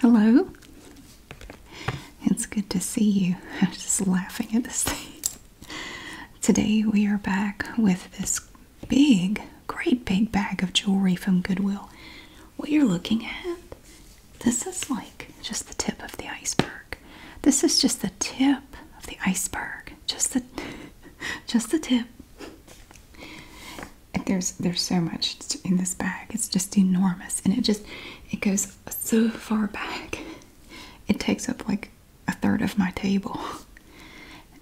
Hello. It's good to see you. I'm just laughing at this thing. Today we are back with this big, great big bag of jewelry from Goodwill. What you're looking at, this is like just the tip of the iceberg. This is just the tip of the iceberg. Just the just the tip. There's there's so much in this bag. It's just enormous, and it just it goes so far back. It takes up like a third of my table.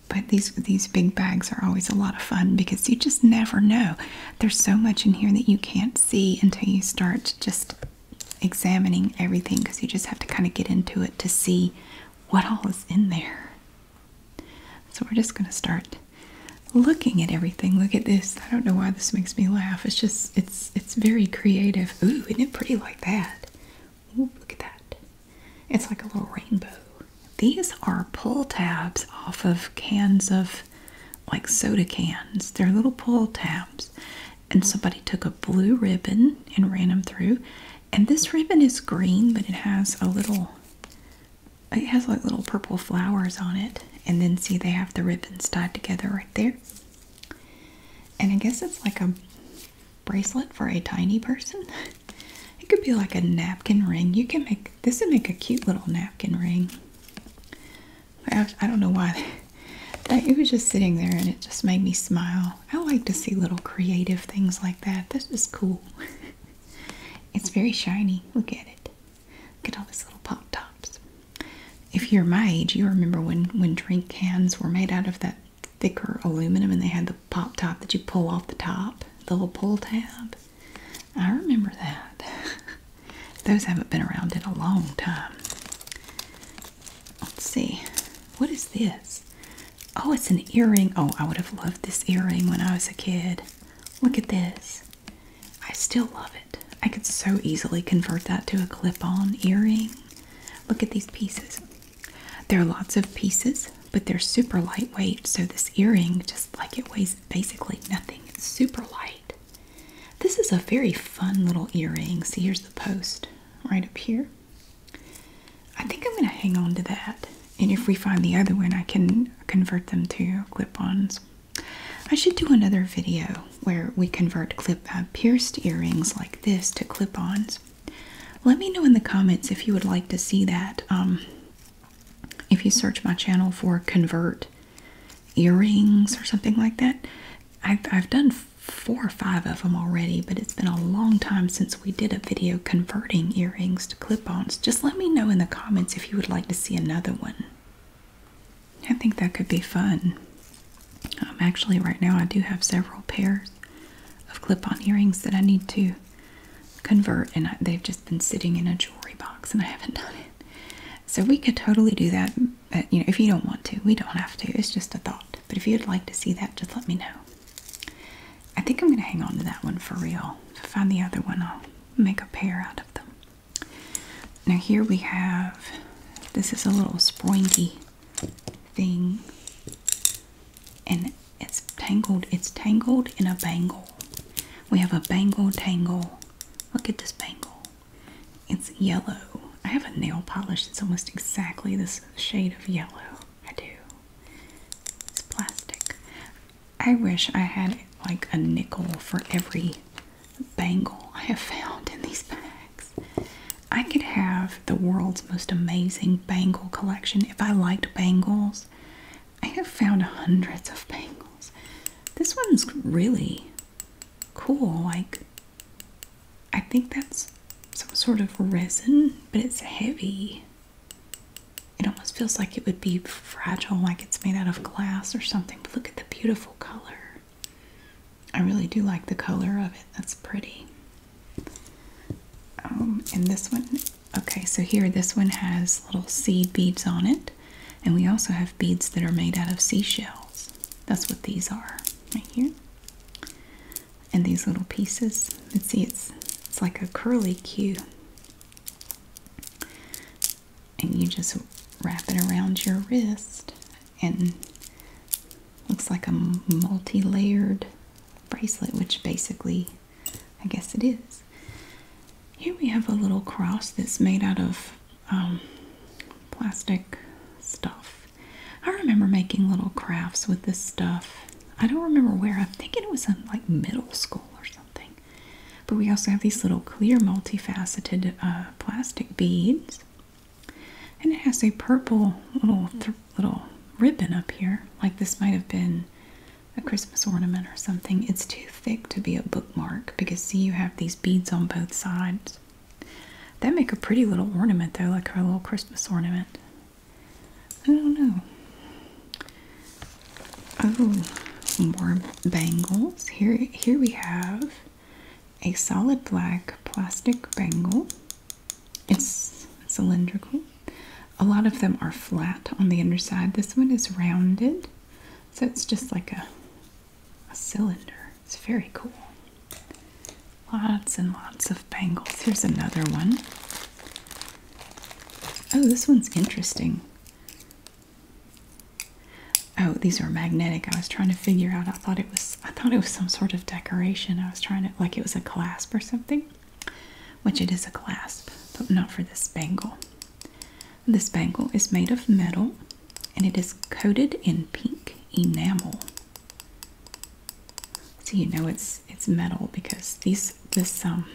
But these these big bags are always a lot of fun because you just never know. There's so much in here that you can't see until you start just examining everything because you just have to kind of get into it to see what all is in there. So we're just going to start looking at everything. Look at this. I don't know why this makes me laugh. It's just it's it's very creative. Ooh, isn't it pretty like that? Ooh, look at that. It's like a little rainbow. These are pull tabs off of cans of like soda cans. They're little pull tabs. And somebody took a blue ribbon and ran them through. And this ribbon is green, but it has a little it has like little purple flowers on it and then see they have the ribbons tied together right there and i guess it's like a bracelet for a tiny person it could be like a napkin ring you can make this would make a cute little napkin ring i, don't know why that, it was just sitting there and it just made me smile i like to see little creative things like that this is cool It's very shiny. Look at it. Look at all these little pop tops. If you're my age, you remember when when drink cans were made out of that thicker aluminum and they had the pop top that you pull off the top, the little pull tab. I remember that. Those haven't been around in a long time. Let's see. What is this? Oh, it's an earring. Oh, I would have loved this earring when I was a kid. Look at this. I still love it. I could so easily convert that to a clip on earring. Look at these pieces. There are lots of pieces, but they're super lightweight. So, this earring, just like it weighs basically nothing, it's super light. This is a very fun little earring. See, here's the post right up here. I think I'm going to hang on to that. And if we find the other one, I can convert them to clip ons. I should do another video where we convert clip uh, pierced earrings like this to clip ons. Let me know in the comments if you would like to see that. Um, if you search my channel for convert earrings or something like that, I've done four or five of them already, but it's been a long time since we did a video converting earrings to clip-ons, just let me know in the comments if you would like to see another one. I think that could be fun. Um, actually, right now I do have several pairs of clip-on earrings that I need to convert, and they've just been sitting in a jewelry box, and I haven't done it. So we could totally do that. you know, if you don't want to, we don't have to. It's just a thought. But if you'd like to see that, just let me know. I think I'm going to hang on to that one for real. If I find the other one, I'll make a pair out of them. Now, here we have this is a little springy thing, and it's tangled. It's tangled in a bangle. We have a bangle tangle. Look at this bangle. It's yellow. I have a nail polish that's almost exactly this shade of yellow. I do. It's plastic. I wish I had like a nickel for every bangle I have found in these bags. I could have the world's most amazing bangle collection if I liked bangles. I have found hundreds of bangles. This one's really cool. Like, I think that's some sort of resin, but it's heavy. It almost feels like it would be fragile, like it's made out of glass or something. But look at the beautiful color. I really do like the color of it. That's pretty. Um, and this one, okay, so here this one has little seed beads on it. And we also have beads that are made out of seashells. That's what these are right here. And these little pieces. Let's see, it's it's like a curly Q and you just wrap it around your wrist and looks like a multi-layered bracelet which basically I guess it is. Here we have a little cross that's made out of um, plastic stuff. I remember making little crafts with this stuff I don't remember where. I'm thinking it was in like middle school or something. But we also have these little clear multifaceted uh, plastic beads. And it has a purple little little ribbon up here. Like this might have been a Christmas ornament or something. It's too thick to be a bookmark because see you have these beads on both sides. That make a pretty little ornament though, like a little Christmas ornament. I don't know. Oh, more bangles. Here, here we have a solid black plastic bangle. It's cylindrical. A lot of them are flat on the underside. This one is rounded, so it's just like a a cylinder. It's very cool. Lots and lots of bangles. Here's another one. Oh, this one's interesting. Oh, these are magnetic. I was trying to figure out. I thought it was I thought it was some sort of decoration. I was trying to like it was a clasp or something. Which it is a clasp, but not for this bangle. This bangle is made of metal and it is coated in pink enamel. So you know it's it's metal because these this um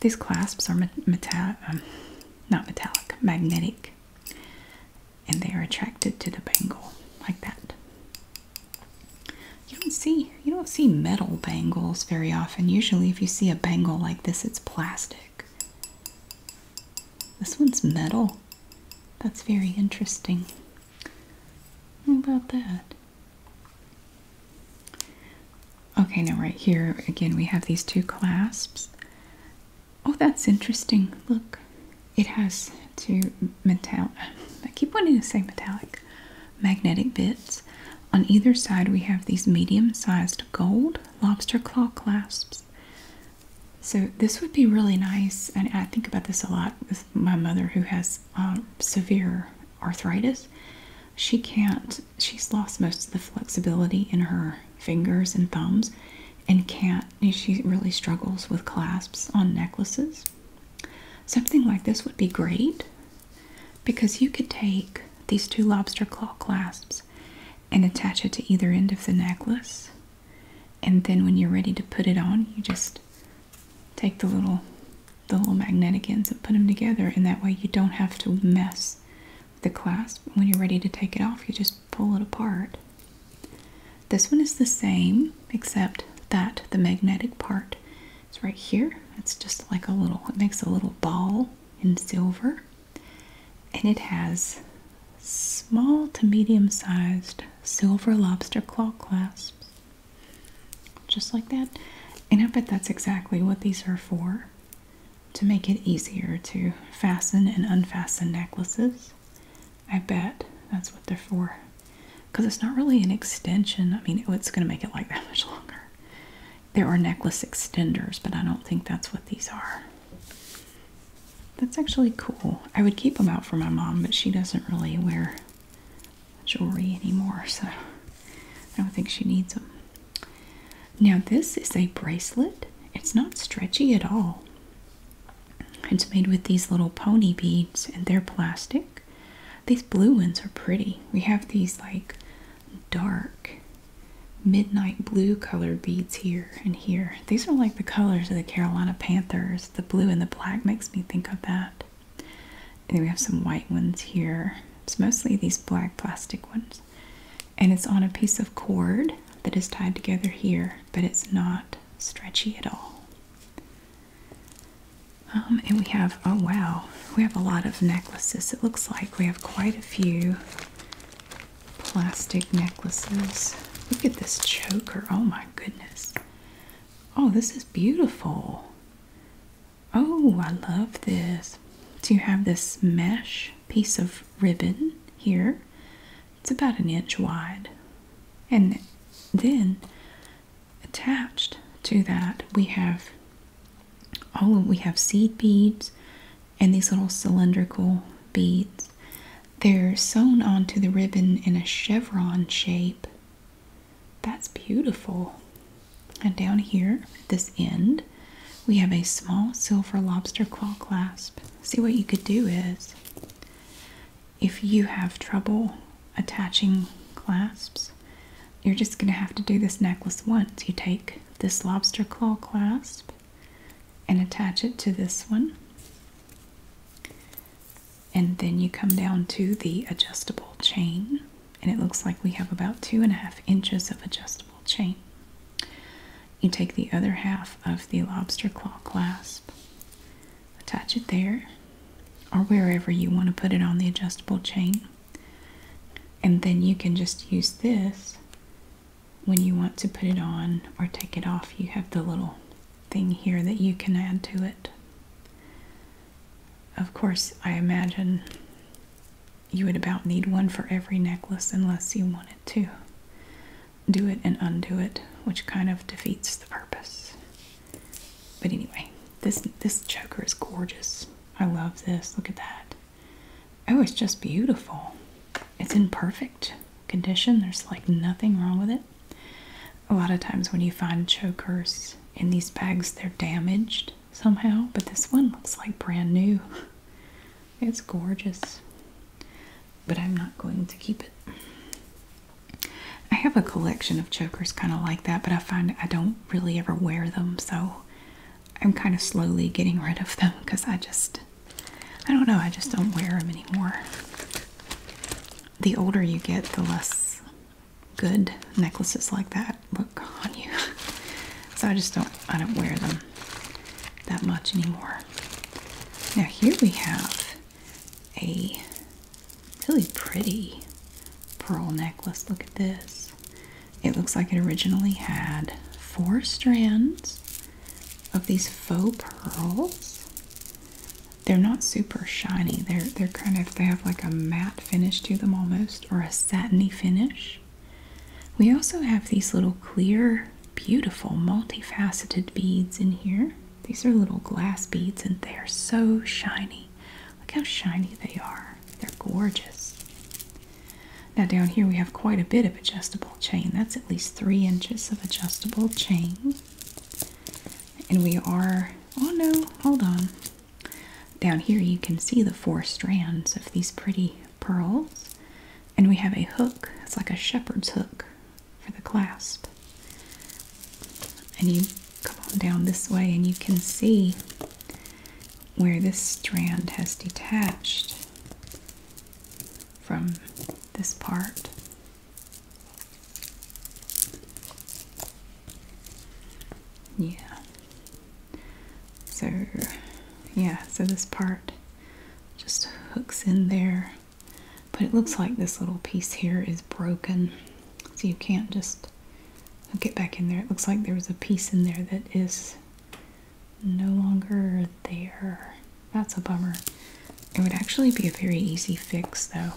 these clasps are um, not metallic, magnetic, and they are attracted to the bangle like that. You don't see you don't see metal bangles very often. Usually, if you see a bangle like this, it's plastic. This one's metal. That's very interesting. How about that? Okay, now right here again we have these two clasps. Oh, that's interesting. Look, it has two metal. I keep wanting to say metallic magnetic bits. On either side, we have these medium sized gold lobster claw clasps. So, this would be really nice, and I think about this a lot with my mother who has uh, severe arthritis. She can't she's lost most of the flexibility in her fingers and thumbs and can't she really struggles with clasps on necklaces. Something like this would be great because you could take these two lobster claw clasps and attach it to either end of the necklace. And then when you're ready to put it on, you just take the little the little magnetic ends and put them together and that way you don't have to mess with the clasp. When you're ready to take it off, you just pull it apart. This one is the same except that the magnetic part is right here. It's just like a little, it makes a little ball in silver and it has small to medium sized silver lobster claw clasps just like that. And I bet that's exactly what these are for to make it easier to fasten and unfasten necklaces. I bet that's what they're for because it's not really an extension. I mean, oh, it's going to make it like that much longer. There are necklace extenders, but I don't think that's what these are. That's actually cool. I would keep them out for my mom, but she doesn't really wear jewelry anymore, so I don't think she needs them. Now, this is a bracelet. It's not stretchy at all. It's made with these little pony beads and they're plastic. These blue ones are pretty. We have these like dark midnight blue colored beads here and here. These are like the colors of the Carolina Panthers. The blue and the black makes me think of that. And then we have some white ones here. It's mostly these black plastic ones. And it's on a piece of cord that is tied together here, but it's not stretchy at all. Um, and we have, oh wow, we have a lot of necklaces. It looks like we have quite a few plastic necklaces. Look at this choker. Oh my goodness. Oh, this is beautiful. Oh, I love this. Do you have this mesh piece of ribbon here. It's about an inch wide. And then attached to that, we have oh, we have seed beads and these little cylindrical beads. They're sewn onto the ribbon in a chevron shape. That's beautiful. And down here at this end, we have a small silver lobster claw clasp. See, what you could do is if you have trouble attaching clasps, you're just going to have to do this necklace once. You take this lobster claw clasp and attach it to this one. And then you come down to the adjustable chain and it looks like we have about two and a half inches of adjustable chain. You take the other half of the lobster claw clasp, attach it there or wherever you want to put it on the adjustable chain, and then you can just use this when you want to put it on or take it off. You have the little thing here that you can add to it. Of course, I imagine you would about need one for every necklace unless you want it to do it and undo it, which kind of defeats the purpose. But anyway, this this choker is gorgeous. I love this. Look at that. Oh, it's just beautiful. It's in perfect condition. There's like nothing wrong with it. A lot of times when you find chokers in these bags, they're damaged somehow, but this one looks like brand new. It's gorgeous, but I'm not going to keep it. I have a collection of chokers kind of like that, but I find I don't really ever wear them, so I'm kind of slowly getting rid of them because I just, I don't know, I just don't wear them anymore. The older you get, the less good necklaces like that look on you. so I just don't I don't wear them that much anymore. Now here we have a really pretty pearl necklace. Look at this. It looks like it originally had four strands of these faux pearls. They're not super shiny. They're they're kind of they have like a matte finish to them almost or a satiny finish. We also have these little clear, beautiful, multifaceted beads in here. These are little glass beads and they are so shiny. Look how shiny they are. They're gorgeous. Now down here we have quite a bit of adjustable chain. That's at least three inches of adjustable chain. And we are, oh no, hold on. Down here you can see the four strands of these pretty pearls. And we have a hook. It's like a shepherd's hook for the clasp. And you come on down this way and you can see where this strand has detached from this part. Yeah. So, yeah, so this part just hooks in there. But it looks like this little piece here is broken. So you can't just hook it back in there. It looks like there was a piece in there that is no longer there. That's a bummer. It would actually be a very easy fix though.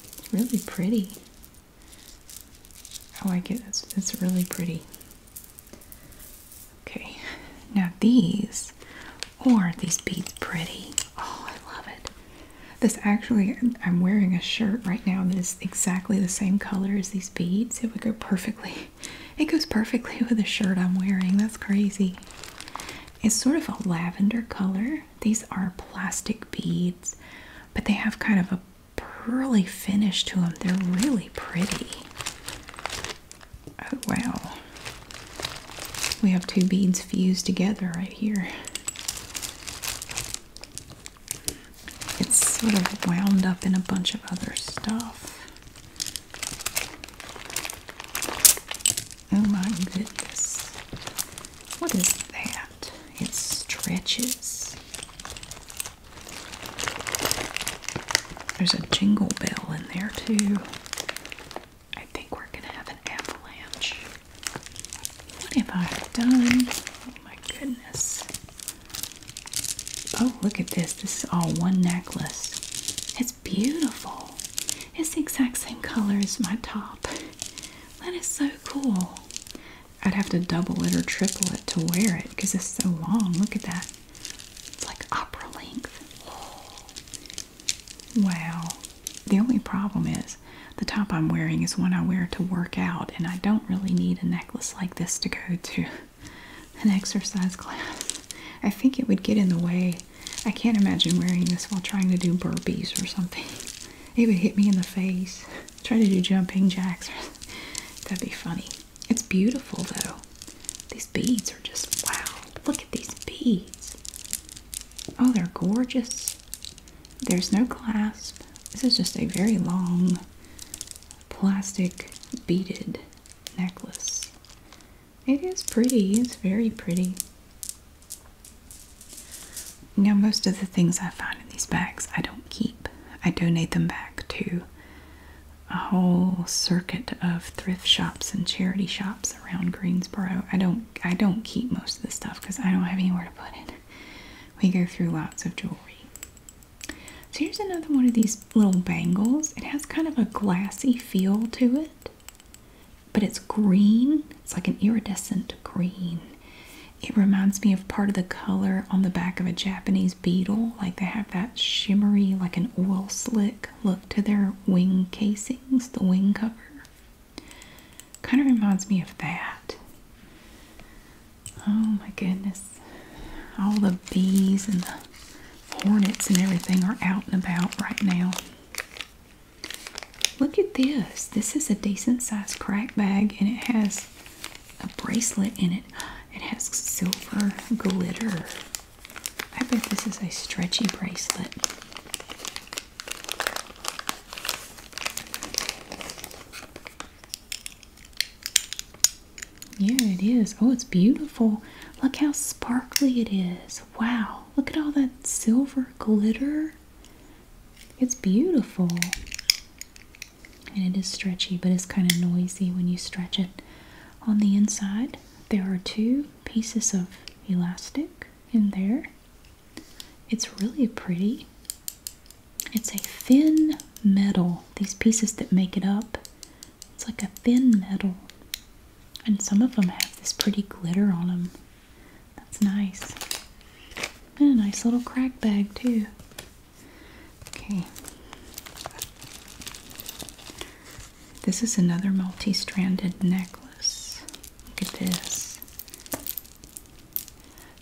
It's really pretty. Oh, I like it. It's, really pretty. Okay, now these, or these beads pretty. Oh, I love it. This actually, I'm wearing a shirt right now that is exactly the same color as these beads. It would go perfectly. It goes perfectly with the shirt I'm wearing. That's crazy. It's sort of a lavender color. These are plastic beads, but they have kind of a pearly finish to them. They're really pretty. Oh, wow. We have two beads fused together right here. It's sort of wound up in a bunch of other stuff. Oh my goodness. What is that? It stretches. There's a jingle bell in there too. I think we're gonna have an avalanche. What have I done? Oh my goodness. Oh, look at this. This is all one necklace. It's beautiful. It's the exact same color as my top. That is so cool. I'd have to double it or triple it to wear it because it's so long. Look at that. It's like opera length. Wow. The only problem is the top I'm wearing is one I wear to work out, and I don't really need a necklace like this to go to an exercise class. I think it would get in the way. I can't imagine wearing this while trying to do burpees or something. It would hit me in the face. Try to do jumping jacks. That'd be funny. It's beautiful though. These beads are just wow. Look at these beads. Oh, they're gorgeous. There's no clasp. This is just a very long plastic beaded necklace. It is pretty. It's very pretty. Now, most of the things I find in these bags I don't keep. I donate them back to a whole circuit of thrift shops and charity shops around Greensboro. I don't I don't keep most of the stuff because I don't have anywhere to put it. We go through lots of jewelry. So here's another one of these little bangles. It has kind of a glassy feel to it, but it's green. It's like an iridescent green. It reminds me of part of the color on the back of a Japanese beetle. Like they have that shimmery, like an oil slick look to their wing casings, the wing cover. Kind of reminds me of that. Oh my goodness. All the bees and the hornets and everything are out and about right now. Look at this. This is a decent sized crack bag and it has a bracelet in it. It has silver glitter. I bet this is a stretchy bracelet. Yeah, it is. Oh, it's beautiful. Look how sparkly it is. Wow, look at all that silver glitter. It's beautiful and it is stretchy but it's kind of noisy when you stretch it. On the inside there are two pieces of elastic in there. It's really pretty. It's a thin metal, these pieces that make it up. It's like a thin metal. And some of them have this pretty glitter on them. That's nice. And a nice little crack bag too. Okay. This is another multi-stranded necklace. Look at this.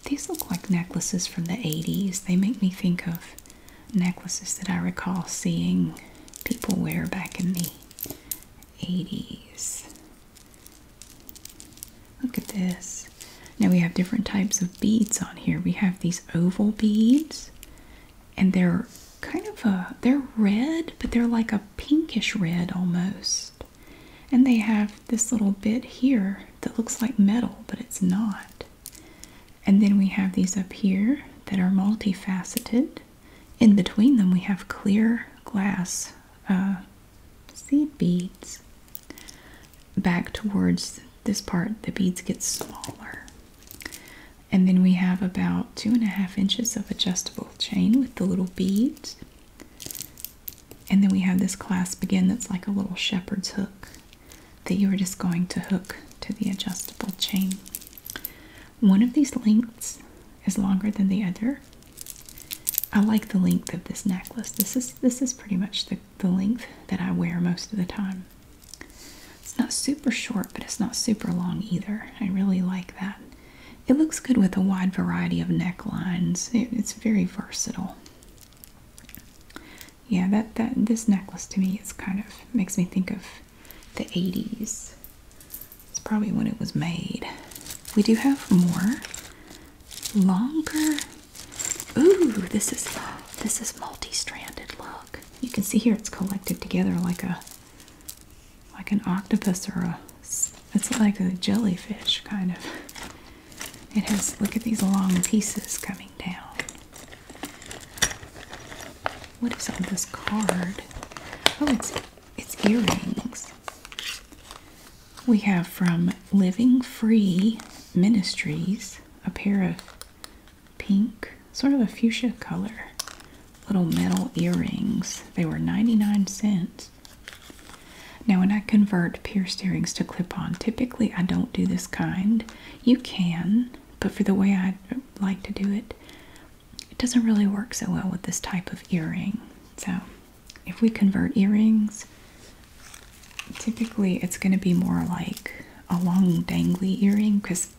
These look like necklaces from the 80s. They make me think of necklaces that I recall seeing people wear back in the 80s. Look at this. Now we have different types of beads on here. We have these oval beads and they're kind of a they're red, but they're like a pinkish red almost. And they have this little bit here that looks like metal, but it's not. And then we have these up here that are multifaceted. In between them, we have clear glass uh, seed beads back towards this part, the beads get smaller. And then we have about two and a half inches of adjustable chain with the little beads. And then we have this clasp again that's like a little shepherd's hook that you are just going to hook to the adjustable chain. One of these lengths is longer than the other. I like the length of this necklace. This is this is pretty much the the length that I wear most of the time. It's not super short, but it's not super long either. I really like that. It looks good with a wide variety of necklines. it's very versatile. Yeah, that, that this necklace to me is kind of makes me think of the 80s. It's probably when it was made. We do have more longer Ooh, this is this is multi-stranded. Look, you can see here it's collected together like a like an octopus or a it's like a jellyfish kind of. It has look at these long pieces coming down. What is on this card? Oh, it's it's earrings. We have from Living Free Ministries a pair of pink, sort of a fuchsia color little metal earrings. They were 99 cents. Now, when I convert pierced earrings to clip on, typically I don't do this kind. You can, but for the way I like to do it, it doesn't really work so well with this type of earring. So, if we convert earrings, typically it's going to be more like a long dangly earring because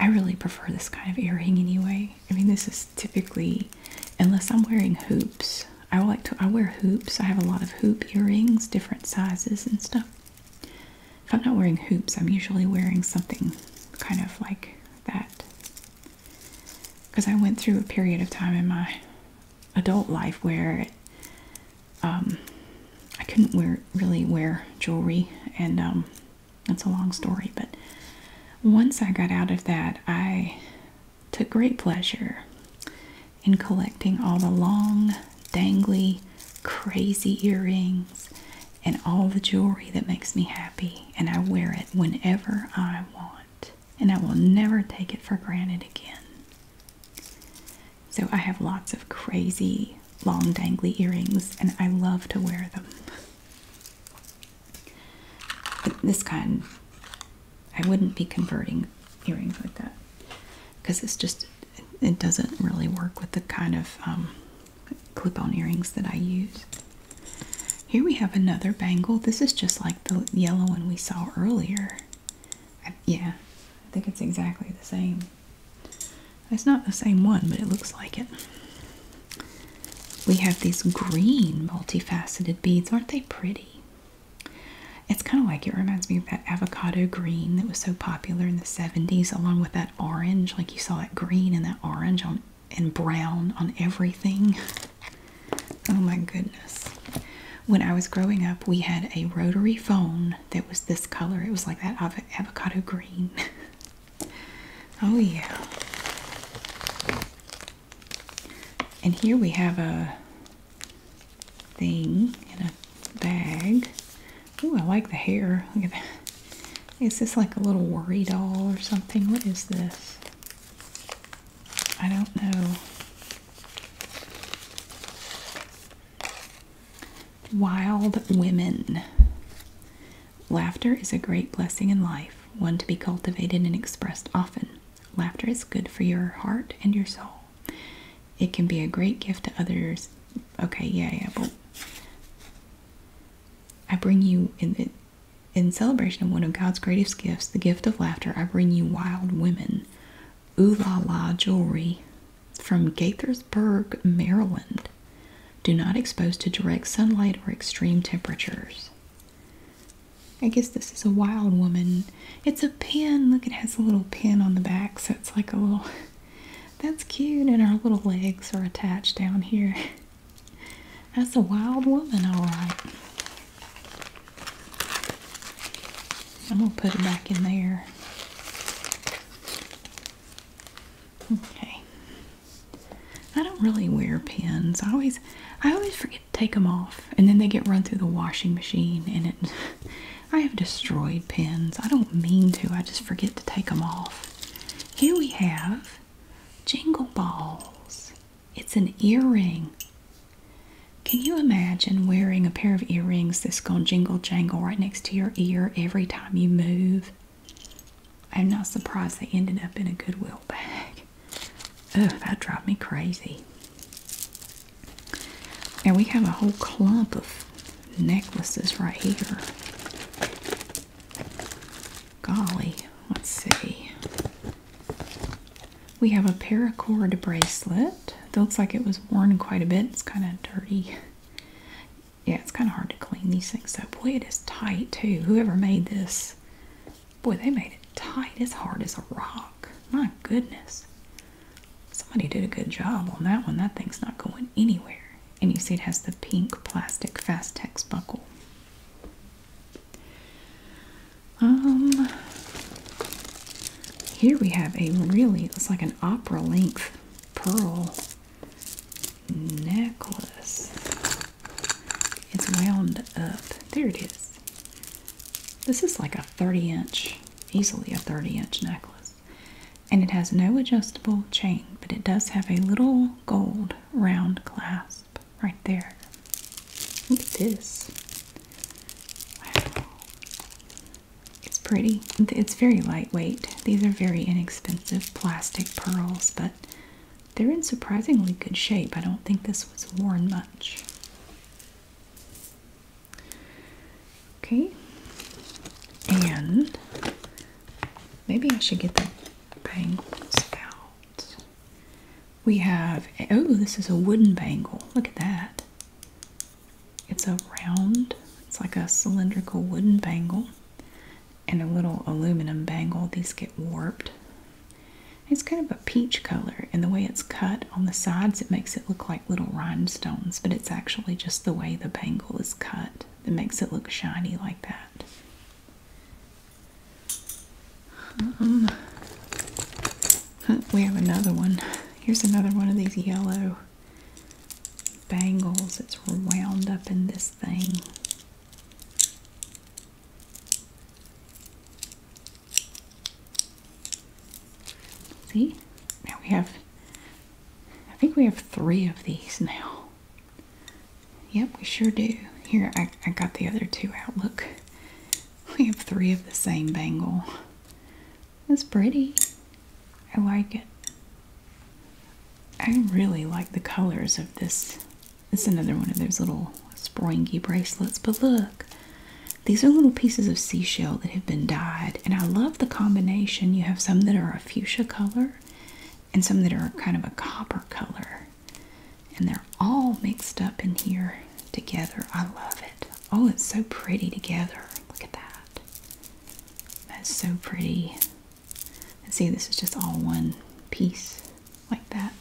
I really prefer this kind of earring anyway. I mean, this is typically, unless I'm wearing hoops, I like to, I wear hoops. I have a lot of hoop earrings, different sizes and stuff. If I'm not wearing hoops, I'm usually wearing something kind of like that. Because I went through a period of time in my adult life where um, I couldn't wear really wear jewelry, and um, that's a long story. But once I got out of that, I took great pleasure in collecting all the long, dangly, crazy earrings and all the jewelry that makes me happy, and I wear it whenever I want, and I will never take it for granted again. So I have lots of crazy long dangly earrings and I love to wear them. But this kind, I wouldn't be converting earrings like that because it's just, it doesn't really work with the kind of um, clip-on earrings that I use. Here we have another bangle. This is just like the yellow one we saw earlier. yeah, I think it's exactly the same. It's not the same one, but it looks like it. We have these green multifaceted beads. Aren't they pretty? It's kind of like it reminds me of that avocado green that was so popular in the 70s, along with that orange. Like you saw that green and that orange on and brown on everything. Oh my goodness. When I was growing up, we had a rotary phone that was this color. It was like that avocado green. oh, yeah. And here we have a thing in a bag. Ooh, I like the hair. Look at that. Is this like a little worry doll or something? What is this? I don't know. Wild women. Laughter is a great blessing in life, one to be cultivated and expressed often. Laughter is good for your heart and your soul. It can be a great gift to others. Okay, yeah, yeah, I bring you in celebration of one of God's greatest gifts, the gift of laughter. I bring you wild women, ooh la la jewelry, from Gaithersburg, Maryland. Do not expose to direct sunlight or extreme temperatures. I guess this is a wild woman. It's a pin. Look, it has a little pin on the back, so it's like a little. That's cute, and her little legs are attached down here. That's a wild woman, all right. I'm gonna put it back in there. Okay. I don't really wear pins. I always I always forget to take them off and then they get run through the washing machine and it I have destroyed pins. I don't mean to. I just forget to take them off. Here we have jingle balls. It's an earring. Can you imagine wearing a pair of earrings that's going jingle jangle right next to your ear every time? you move. I'm not surprised they ended up in a Goodwill bag. Ugh, that drive me crazy. And we have a whole clump of necklaces right here. Golly, let's see. We have a paracord bracelet. It looks like it was worn quite a bit. It's kind of dirty yeah, it's kind of hard to clean these things up. Boy, it is tight too. Whoever made this, boy, they made it tight. as hard as a rock. My goodness. Somebody did a good job on that one. That thing's not going anywhere. And you see it has the pink plastic Fastex buckle. Um, here we have a really, looks like an opera length pearl necklace. It's wound up. There it is. This is like a 30 inch, easily a 30 inch necklace. And it has no adjustable chain, but it does have a little gold round clasp right there. Look at this. It's pretty. It's very lightweight. These are very inexpensive plastic pearls, but they're in surprisingly good shape. I don't think this was worn much. Okay, and maybe I should get the bangles out. We have, oh, this is a wooden bangle. Look at that. It's a round, it's like a cylindrical wooden bangle and a little aluminum bangle. These get warped. It's kind of a peach color, and the way it's cut on the sides, it makes it look like little rhinestones, but it's actually just the way the bangle is cut that makes it look shiny like that. Um, we have another one. Here's another one of these yellow bangles. It's wound up in this thing. See? Now we have, I think we have three of these now. Yep, we sure do. Here, I, I got the other two out. Look, we have three of the same bangle. It's pretty. I like it. I really like the colors of this. It's another one of those little springy bracelets, but look. These are little pieces of seashell that have been dyed, and I love the combination. You have some that are a fuchsia color and some that are kind of a copper color. And they're all mixed up in here together. I love it. Oh, it's so pretty together. Look at that. That's so pretty. And see, this is just all one piece like that.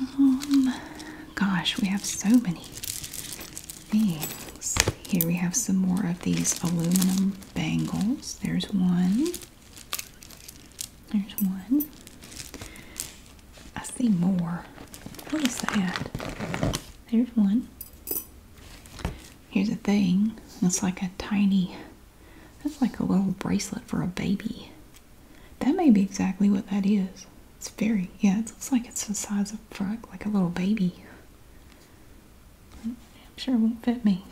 Um, gosh, we have so many things. Here we have some more of these aluminum bangles. There's one. There's one. I see more. What is that? There's one. Here's a thing. It's like a tiny, that's like a little bracelet for a baby. That may be exactly what that is. It's very, yeah, it looks like it's the size of frog, like a little baby. I'm sure it won't fit me.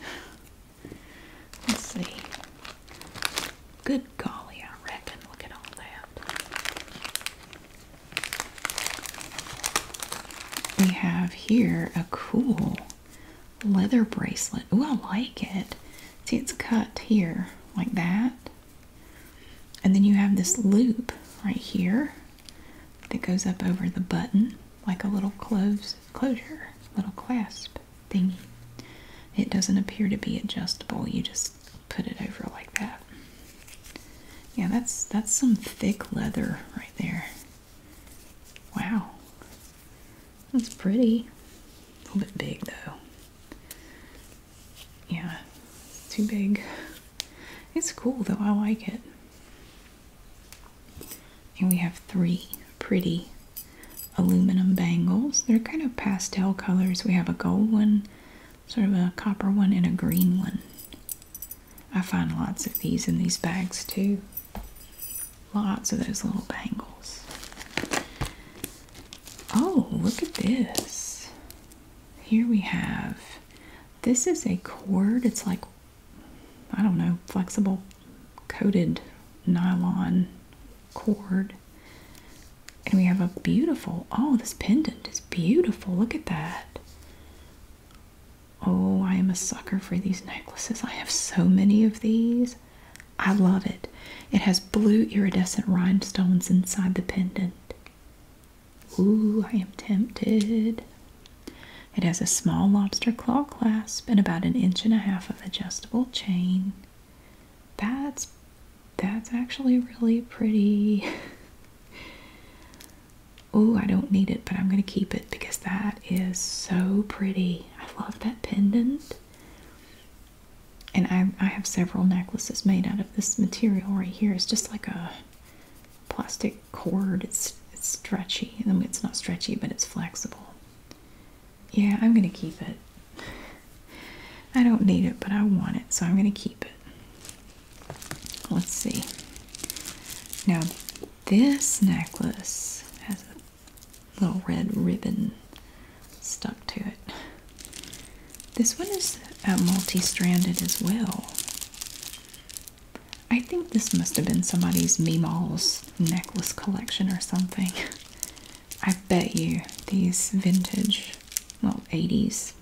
Let's see. Good golly, I reckon. Look at all that. We have here a cool leather bracelet. Oh, I like it. See, it's cut here like that. And then you have this loop right here that goes up over the button like a little close closure, little clasp thingy. It doesn't appear to be adjustable. You just put it over like that. Yeah, that's that's some thick leather right there. Wow. That's pretty. A little bit big though. Yeah, it's too big. It's cool though, I like it. And we have three pretty aluminum bangles. They're kind of pastel colors. We have a gold one, sort of a copper one, and a green one. I find lots of these in these bags too. Lots of those little bangles. Oh, look at this. Here we have this is a cord. It's like, I don't know, flexible coated nylon cord. And we have a beautiful, oh, this pendant is beautiful. Look at that. Oh, I am a sucker for these necklaces. I have so many of these. I love it. It has blue iridescent rhinestones inside the pendant. Ooh, I am tempted. It has a small lobster claw clasp and about an inch and a half of adjustable chain. That's that's actually really pretty. oh, I don't need it, but I'm going to keep it because that is so pretty. I love that pendant. And I, I have several necklaces made out of this material right here. It's just like a plastic cord. It's, stretchy. I mean, it's not stretchy, but it's flexible. Yeah, I'm going to keep it. I don't need it, but I want it, so I'm going to keep it. Let's see. Now, this necklace has a little red ribbon stuck to it. This one is multi stranded as well. I think this must have been somebody's Meemaw's necklace collection or something. I bet you these vintage, well, 80s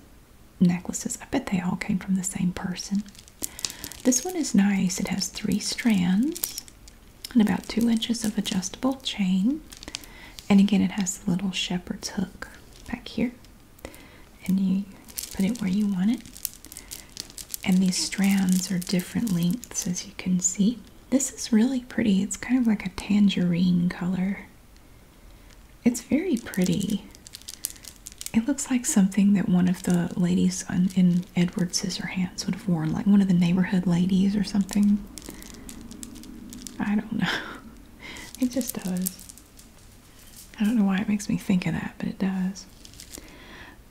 necklaces. I bet they all came from the same person. This one is nice. It has three strands and about two inches of adjustable chain. And again, it has the little shepherd's hook back here. And you put it where you want it. And these strands are different lengths, as you can see. This is really pretty. It's kind of like a tangerine color. It's very pretty. It looks like something that one of the ladies on, in Edward Scissorhands would have worn, like one of the neighborhood ladies or something. I don't know. It just does. I don't know why it makes me think of that, but it does.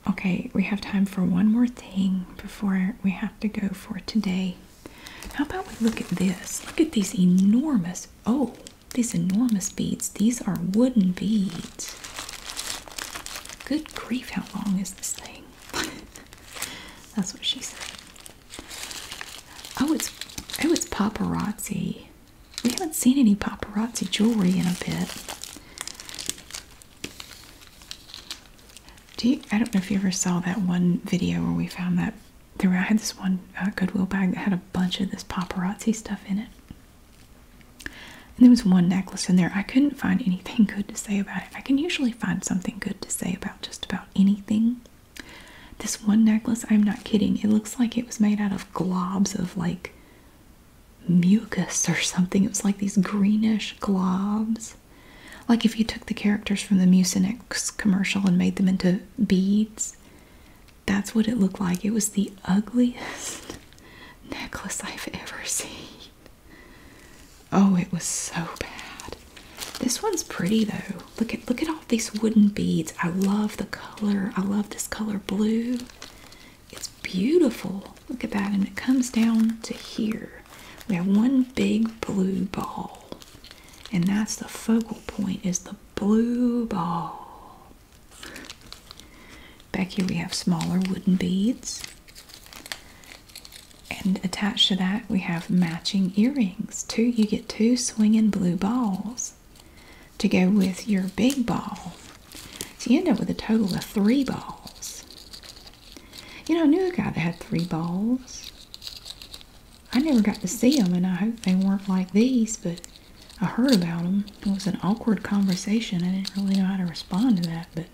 Okay, we have time for one more thing before we have to go for today. How about we look at this? Look at these enormous. Oh, these enormous beads. These are wooden beads. Good grief, how long is this thing? That's what she said. Oh, it's oh, it's paparazzi. We haven't seen any paparazzi jewelry in a bit. Do you, I don't know if you ever saw that one video where we found that there. I had this one uh, Goodwill bag that had a bunch of this paparazzi stuff in it. And there was one necklace in there. I couldn't find anything good to say about it. I can usually find something good to say about just about anything. This one necklace, I'm not kidding, it looks like it was made out of globs of like mucus or something. It was like these greenish globs. Like if you took the characters from the Mucinex commercial and made them into beads. That's what it looked like. It was the ugliest necklace I've ever seen. Oh, it was so bad. This one's pretty though. Look at look at all these wooden beads. I love the color. I love this color blue. It's beautiful. Look at that. And it comes down to here. We have one big blue ball. And that's the focal point is the blue ball. Back here we have smaller wooden beads. And attached to that, we have matching earrings. Two, you get two swinging blue balls to go with your big ball. So you end up with a total of three balls. You know, I knew a guy that had three balls. I never got to see them, and I hope they weren't like these, but I heard about him. It was an awkward conversation. I didn't really know how to respond to that, but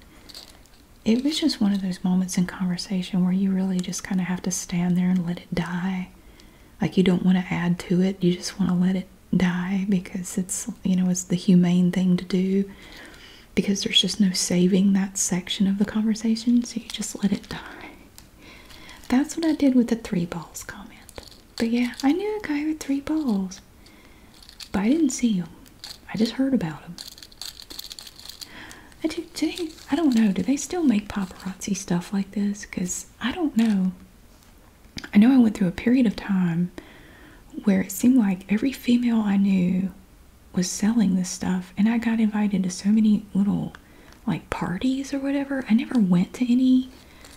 it was just one of those moments in conversation where you really just kind of have to stand there and let it die. Like you don't want to add to it. You just want to let it die because it's, you know, it's the humane thing to do because there's just no saving that section of the conversation. So you just let it die. That's what I did with the three balls comment. But yeah, I knew a guy with three balls. But I didn't see him. I just heard about him. I do, do they, I don't know. Do they still make paparazzi stuff like this? Because I don't know. I know I went through a period of time where it seemed like every female I knew was selling this stuff, and I got invited to so many little like parties or whatever. I never went to any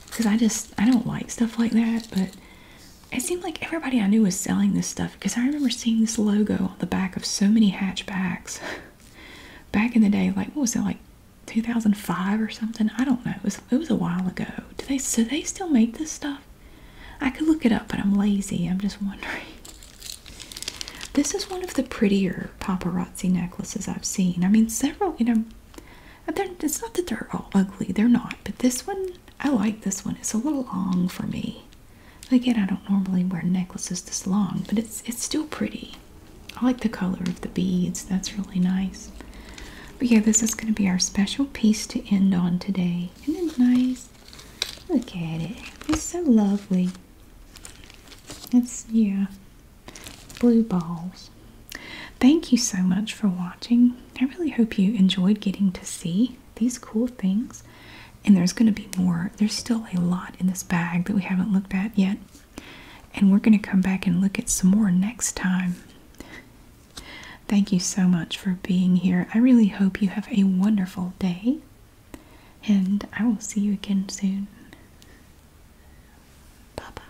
because I just I don't like stuff like that. But it seemed like everybody I knew was selling this stuff because I remember seeing this logo on the back of so many hatchbacks back in the day. Like what was it like 2005 or something? I don't know. It was it was a while ago. Do they so they still make this stuff? I could look it up, but I'm lazy. I'm just wondering. This is one of the prettier paparazzi necklaces I've seen. I mean, several, you know, it's not that they're all ugly, they're not, but this one, I like this one. It's a little long for me. Again, I don't normally wear necklaces this long, but it's it's still pretty. I like the color of the beads. That's really nice. But yeah, this is going to be our special piece to end on today. Isn't it nice? Look at it. It's so lovely. It's, yeah, blue balls. Thank you so much for watching. I really hope you enjoyed getting to see these cool things. And there's going to be more. There's still a lot in this bag that we haven't looked at yet. And we're going to come back and look at some more next time. Thank you so much for being here. I really hope you have a wonderful day. And I will see you again soon. Bye bye.